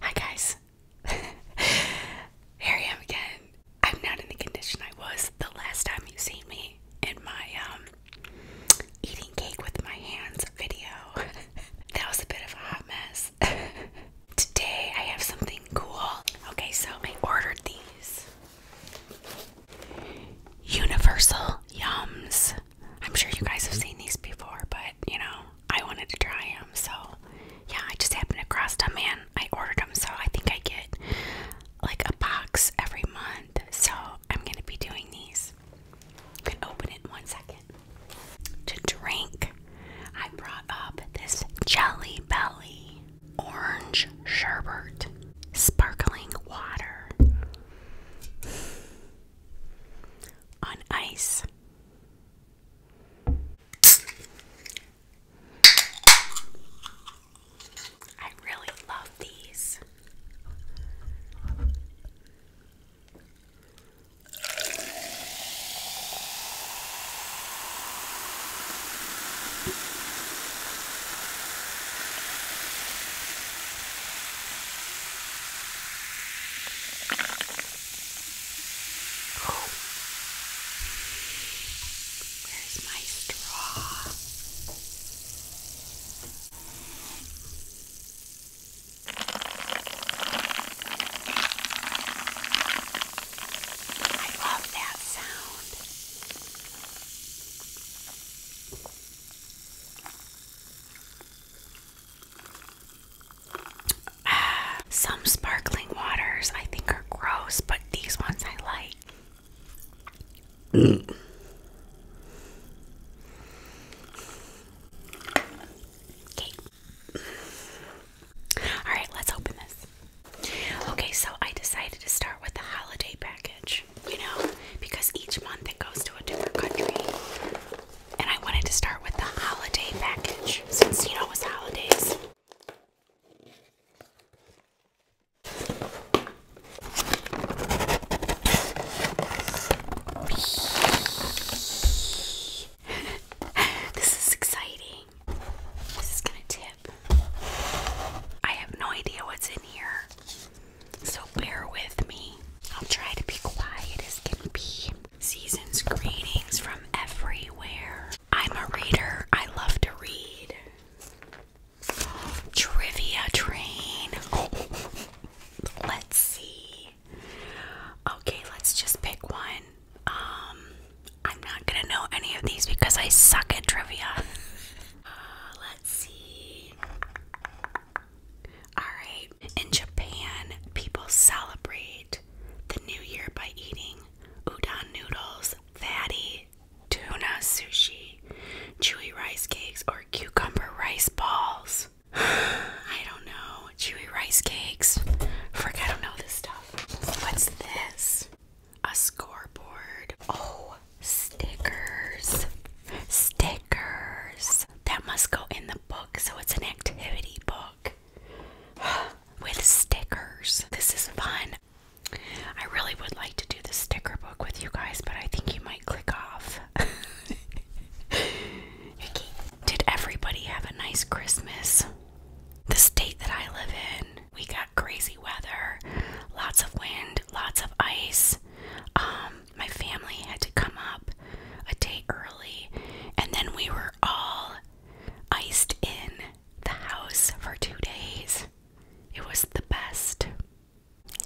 Hi guys. Here I am again. I'm not in the condition I was the last time you seen me in my um eating cake with my hands video. that was a bit of a hot mess. Today I have something cool. Okay, so I ordered these Universal Yums. I'm sure you guys have seen these before, but you know, I wanted to try them. So, yeah, I just happened across them, man. I ordered them, so I think I get like a box every month. So, I'm going to be doing these. You can open it in one second. To drink, I brought up this Jelly Belly orange sherbet, sparkling water on ice. I really love these. Oh. Where's my straw? I love that sound. some sparkling waters I think are gross, but these ones I like. Okay. Alright, let's open this. Okay, so I decided to start with the holiday package, you know, because each month it goes to a different country and I wanted to start with the holiday package since you know it's holidays. this is exciting. This is gonna tip. I have no idea what's in here, so bear with me. I'll try to be quiet as can be. Season's greetings from everywhere. I'm a reader. I love to read. Trivia train. let's see. Okay, let's just pick one. Um, I'm not gonna know any of these because I suck at trivia. Uh, let's see. Alright, in Japan, people celebrate the new year by eating udon noodles, fatty tuna sushi, chewy rice cakes, or cucumber rice balls. I don't know. Chewy rice cakes. Frick, I don't know this stuff. What's this? A scoreboard. Oh, stickers. Stickers. That must go in the book, so it's an activity book. with stickers. This is fun. I really would like to do the sticker book with you guys, but I think you might click off. Did everybody have a nice Christmas? The state that I live in, we got crazy weather, lots of wind, lots of ice. Um, my family had to come up a day early, and then we were all iced in the house for two days. It was the best.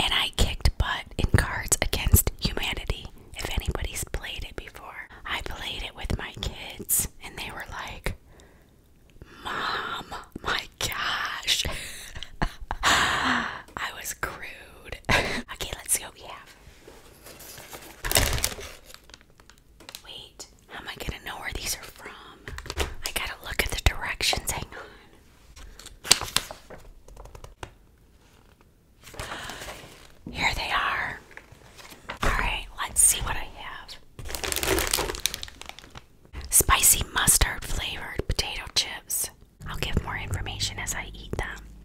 And I kicked butt in Cards Against Humanity. If anybody's played it before, I played it with my kids, and they were like, Mom, my gosh. I was crude. okay, let's see what we have. Wait, how am I gonna know where these are from? I gotta look at the directions. Hang on. Here they are. Alright, let's see what I have. Spicy mustard flavored potato chips. I'll give more information as I eat them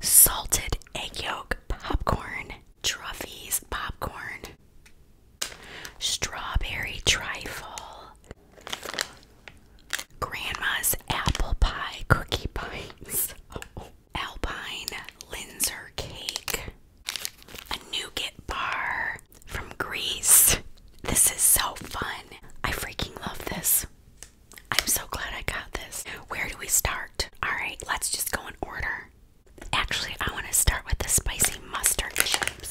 salted egg yolk popcorn, Truffy's popcorn, strawberry trifle, grandma's apple pie cookie bites, oh, alpine linzer cake, a nougat bar from Greece. This is so fun. I freaking love this. I'm so glad I got this. Where do we start? All right, let's just go in order. Actually, I want to start with the spicy mustard chips.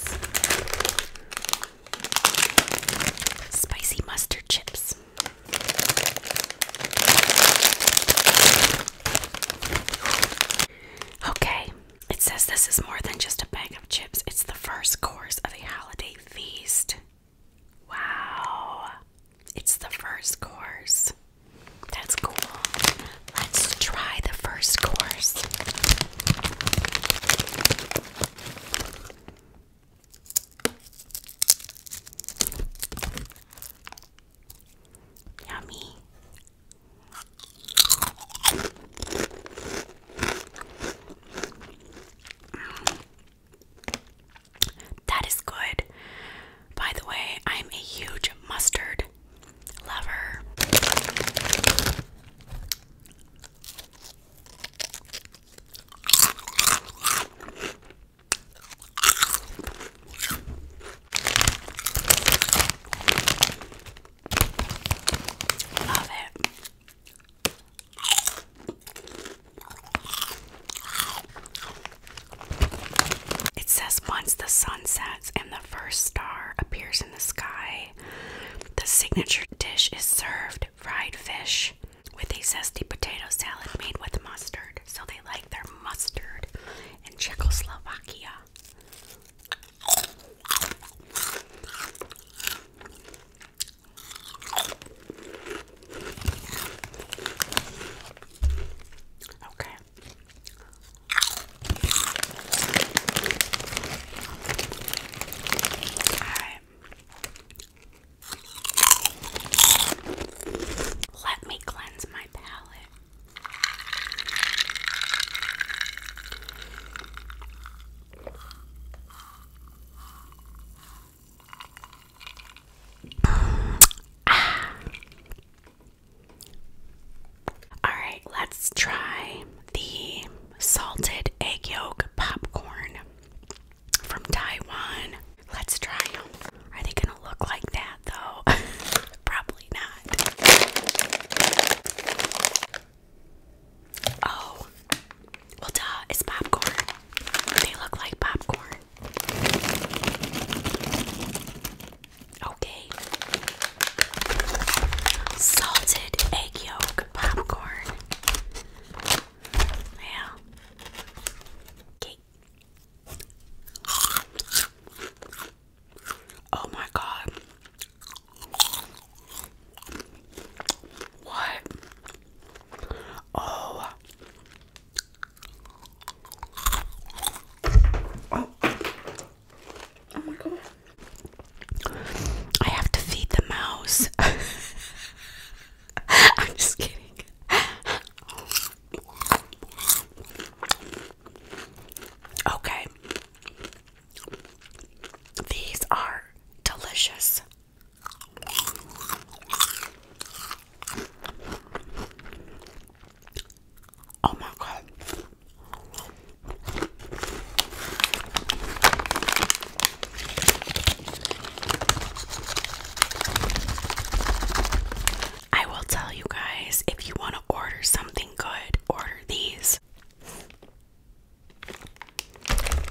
Spicy mustard chips. Okay, it says this is more than just a bag of chips, it's the first course of a holiday feast. Wow. It's the first course. That's cool. Let's try the first course. Yummy. That is good. By the way, I'm a huge mustard lover. Love it. It says once the sun sets and the first star appears in the sky, the signature dish is served fried fish with a zesty potato salad made with mustard. So they like their mustard in Czechoslovakia. Okay. Alright. Let me cleanse my palate. All right, let's try the salted egg yolk popcorn from Taiwan. Let's try them. Are they gonna look like that though? Probably not. Oh, well, duh, it's popcorn. They look like popcorn. Okay. Salted egg yolk popcorn. Yeah. Okay. Oh my god. What? Oh. Oh. Oh I have to feed the mouse. I'm just kidding. Okay. These are delicious. Oh my god. I will tell you guys if you want to order something good, order these.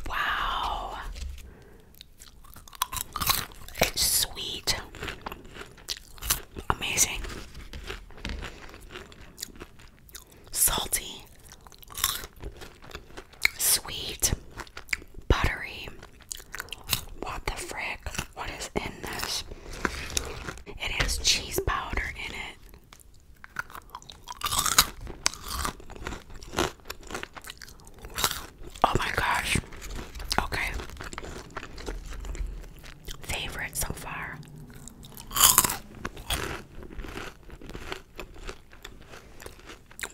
Wow. It's sweet. Amazing. Salty. Sweet. Buttery. What the frick? What is in this? It has cheese powder in it. Oh my gosh. Okay. Favorite so far.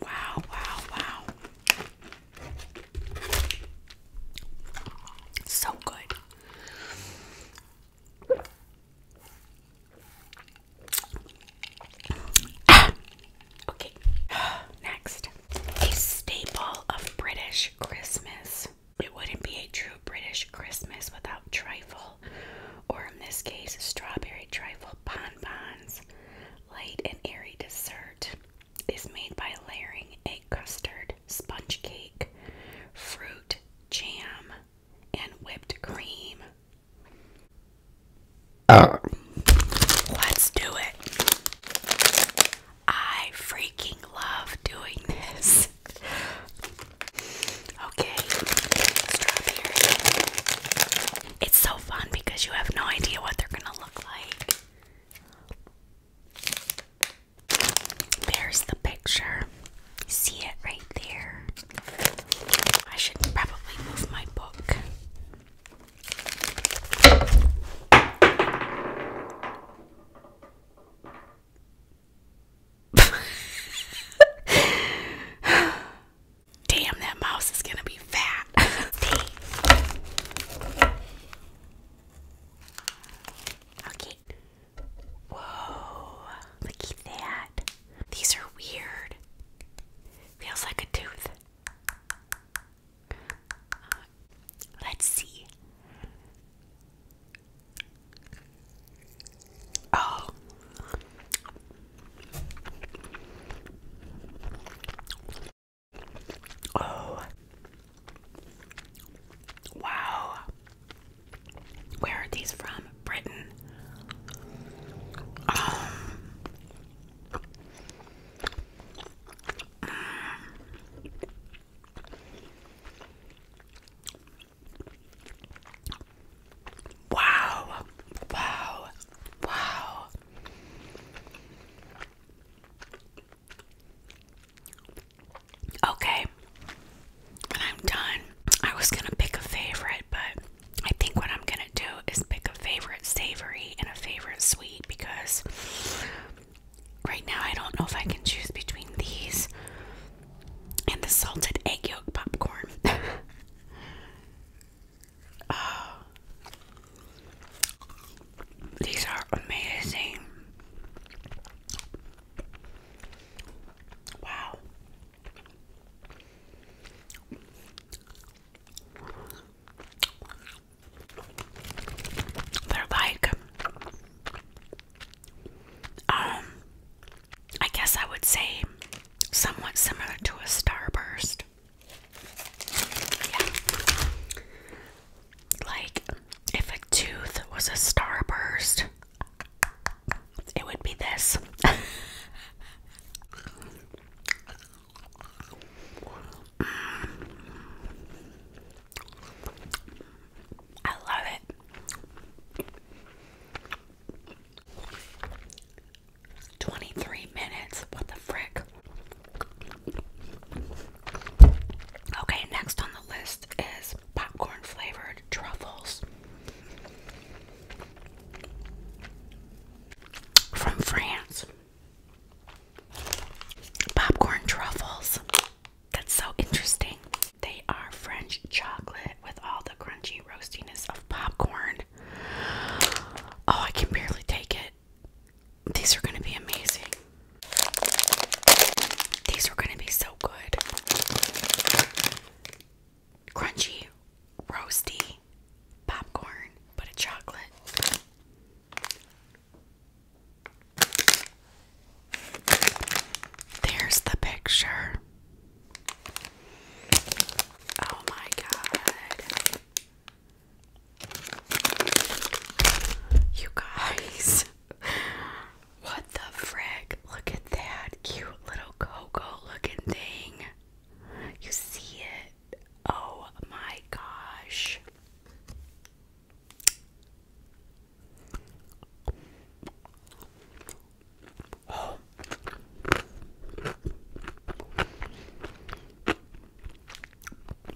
Wow, wow, wow. So good. Ah, okay, next a staple of British Christmas. It wouldn't be a true British Christmas without trifle, or in this case, strawberry trifle bonbons. Light and airy dessert is made by layering egg custard, sponge cake, fruit, jam, and whipped cream. Uh. Let's do it. I freaking love doing this. okay, It's so fun because you have no idea what they're gonna look like. There's the picture. see it right there. I should probably move my book. Damn, that mouse is gonna be fat. okay. Whoa, look at that. These are weird. Feels like a tooth. Uh, let's see. Oh. Oh. Wow. Where are these from? Britain. Um, Wow, wow, wow. Okay, I'm done, I was gonna pick a favorite, but I think what I'm gonna do is pick a favorite savory and a favorite sweet because Right now, I don't know if I can choose between these and the salted egg yolk popcorn. oh, these are amazing. Wow. They're like, um, I guess I would say somewhat similar to a starburst. Yeah. Like, if a tooth was a starburst, it would be this. I love it. 23 minutes. What the frick? Okay, next on the list is popcorn flavored truffles from France. Popcorn truffles. That's so interesting. They are French chocolate with all the crunchy roastiness of popcorn. Oh, I can barely take it. These are going to be amazing. These are going to be so good. Crunchy, roasty popcorn, but a chocolate. There's the picture. Oh my god. You guys. What the frick? Look at that cute little cocoa looking thing. You see it? Oh my gosh. Oh.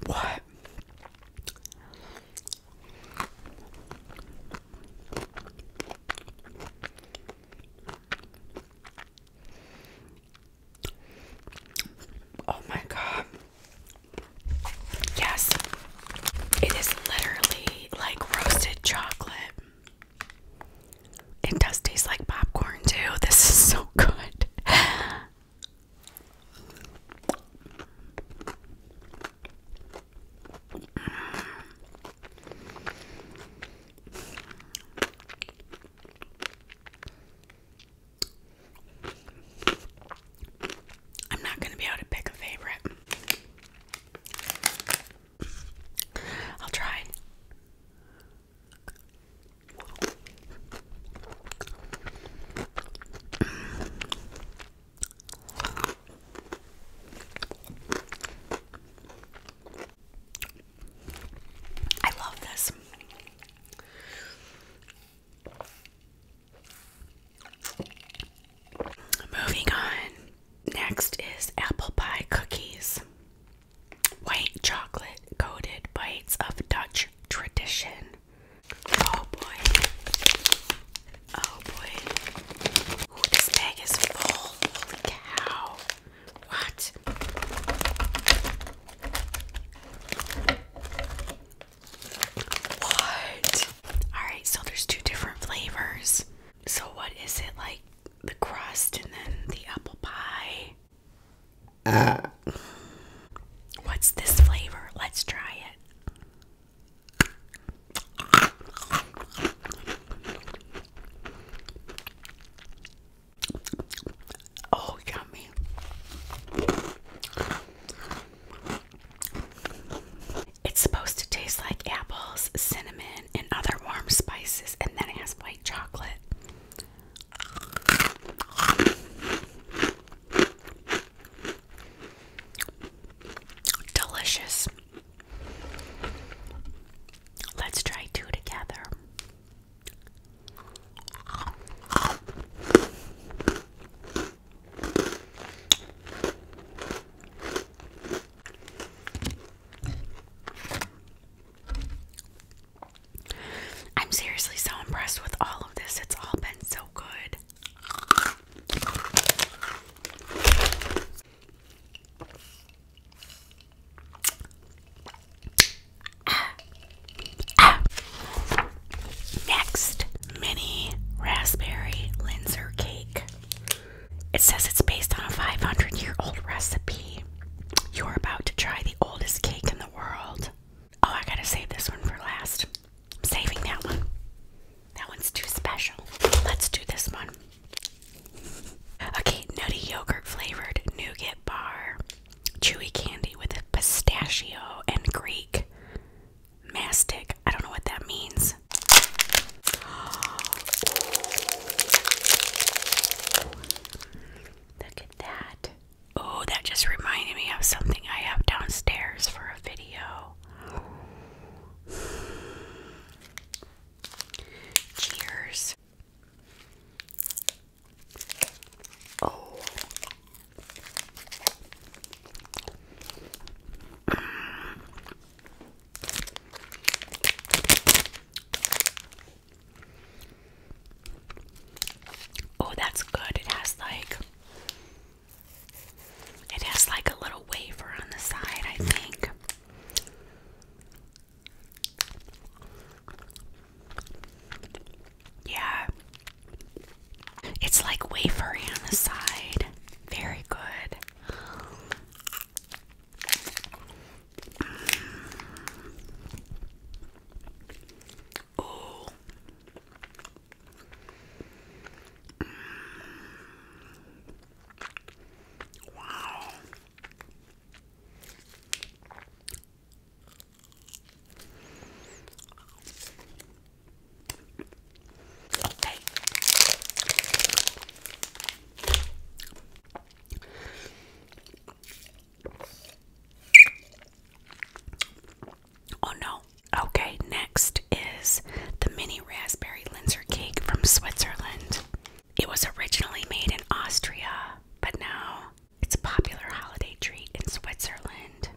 What? Oh, my God. Yes, it is literally like roasted chocolate. It does taste like popcorn, too. This is so good. I'm not going to be able to pick a favorite. I'll try. I love this. Moving on. Next is apple pie cookies. White chocolate coated bites of Dutch tradition. Oh boy. Oh boy. this bag is full. Holy cow. What? What? Alright, so there's two different flavors. So, what is it like? The crust and then the apple pie. Uh. What's this flavor? Let's try it. Oh, yummy. It's supposed to taste like apples, cinnamon, and other warm spices, and then it has white chocolate. Delicious. Let's try two together. I'm seriously so impressed with all of this. It's all been so good. Next, mini raspberry linzer cake. It says it's based on a 500 year old recipe. You're about to try the oldest cake in the world. Oh, I gotta save this one for last. I'm saving that one. That one's too special. Let's do this one. Okay, nutty yogurt flavored nougat bar chewy candy with a pistachio and Greek mastic. I don't know what that means. Look at that. Oh, that just reminded me of something I have downstairs for a video. Cheers. Oh, Oh, that's good. It has like it has like a little wafer on the side, I think. Yeah. It's like wafery on the side. Very good. Oh. Wow. Okay. Oh no. Okay, next is the mini raspberry linzer cake from Switzerland. It was originally made in Austria, but now it's a popular holiday treat in Switzerland.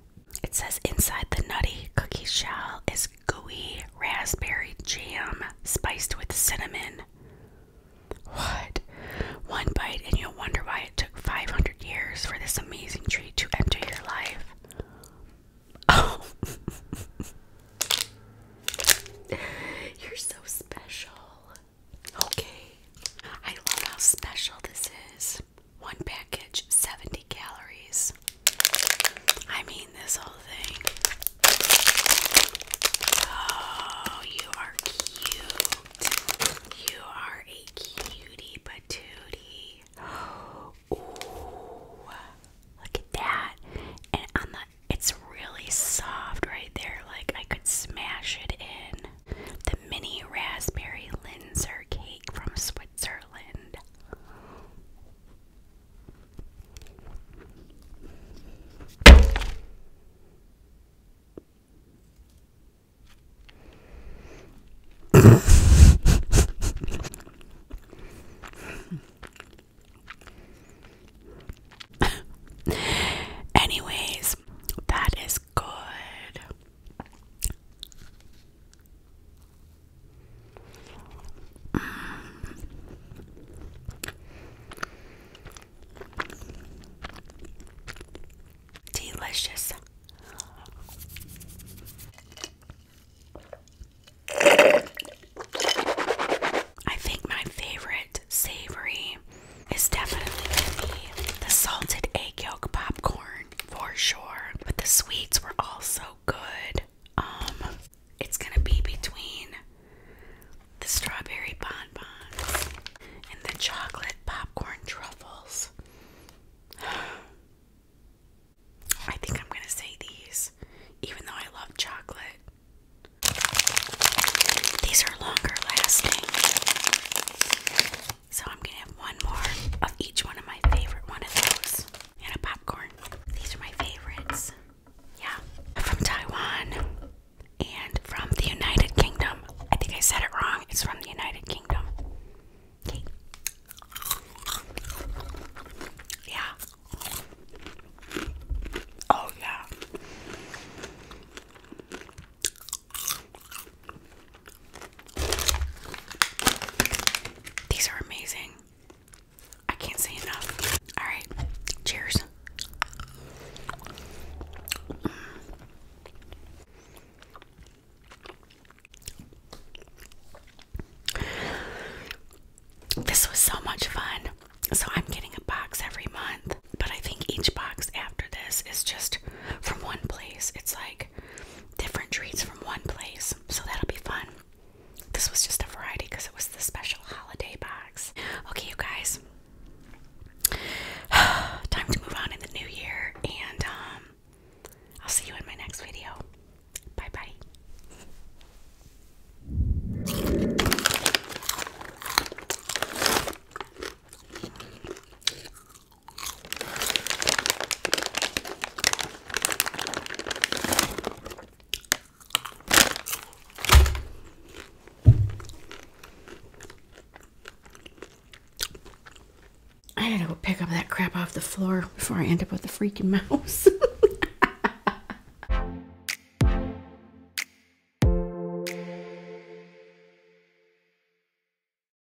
It says inside the nutty cookie shell is gooey raspberry jam spiced with cinnamon. What? One bite, and you'll wonder why it took 500 years for this amazing treat to enter your life. Oh. You're so special. Okay. I love how special this is. One package, 70 calories. I mean, this whole thing. Oh, you are cute. You are a cutie patootie. Ooh, look at that. And on the, it's really soft right there. Like I could smash it in the mini raspberry linzer cake from Switzerland. Anyways, that is good. Delicious. I think my favorite savory is definitely the salted egg yolk popcorn for sure, but the sweets were also good. Um, it's gonna be between the strawberry bonbons and the chocolate popcorn truffles. I think I'm gonna say these, even though I love chocolate. These are longer lasting. So I'm gonna have one more of each one of my favorite one of those. And a popcorn. These are my favorites. Yeah. From Taiwan and from the United Kingdom. I think I said it wrong. It's from the United Kingdom. Okay. Yeah. Oh yeah. These are amazing. I can't say enough. All right, cheers. This was so much fun. So, I'm getting a box every month, but I think each box after this is just from one place. It's like different treats from one place. So that'll be fun. This was just a variety because it was the special holiday box. Okay, you guys. Time to move on in the new year and um, I'll see you in my next video. Bye bye. I gotta go pick up that crap off the floor before I end up with a freaking mouse.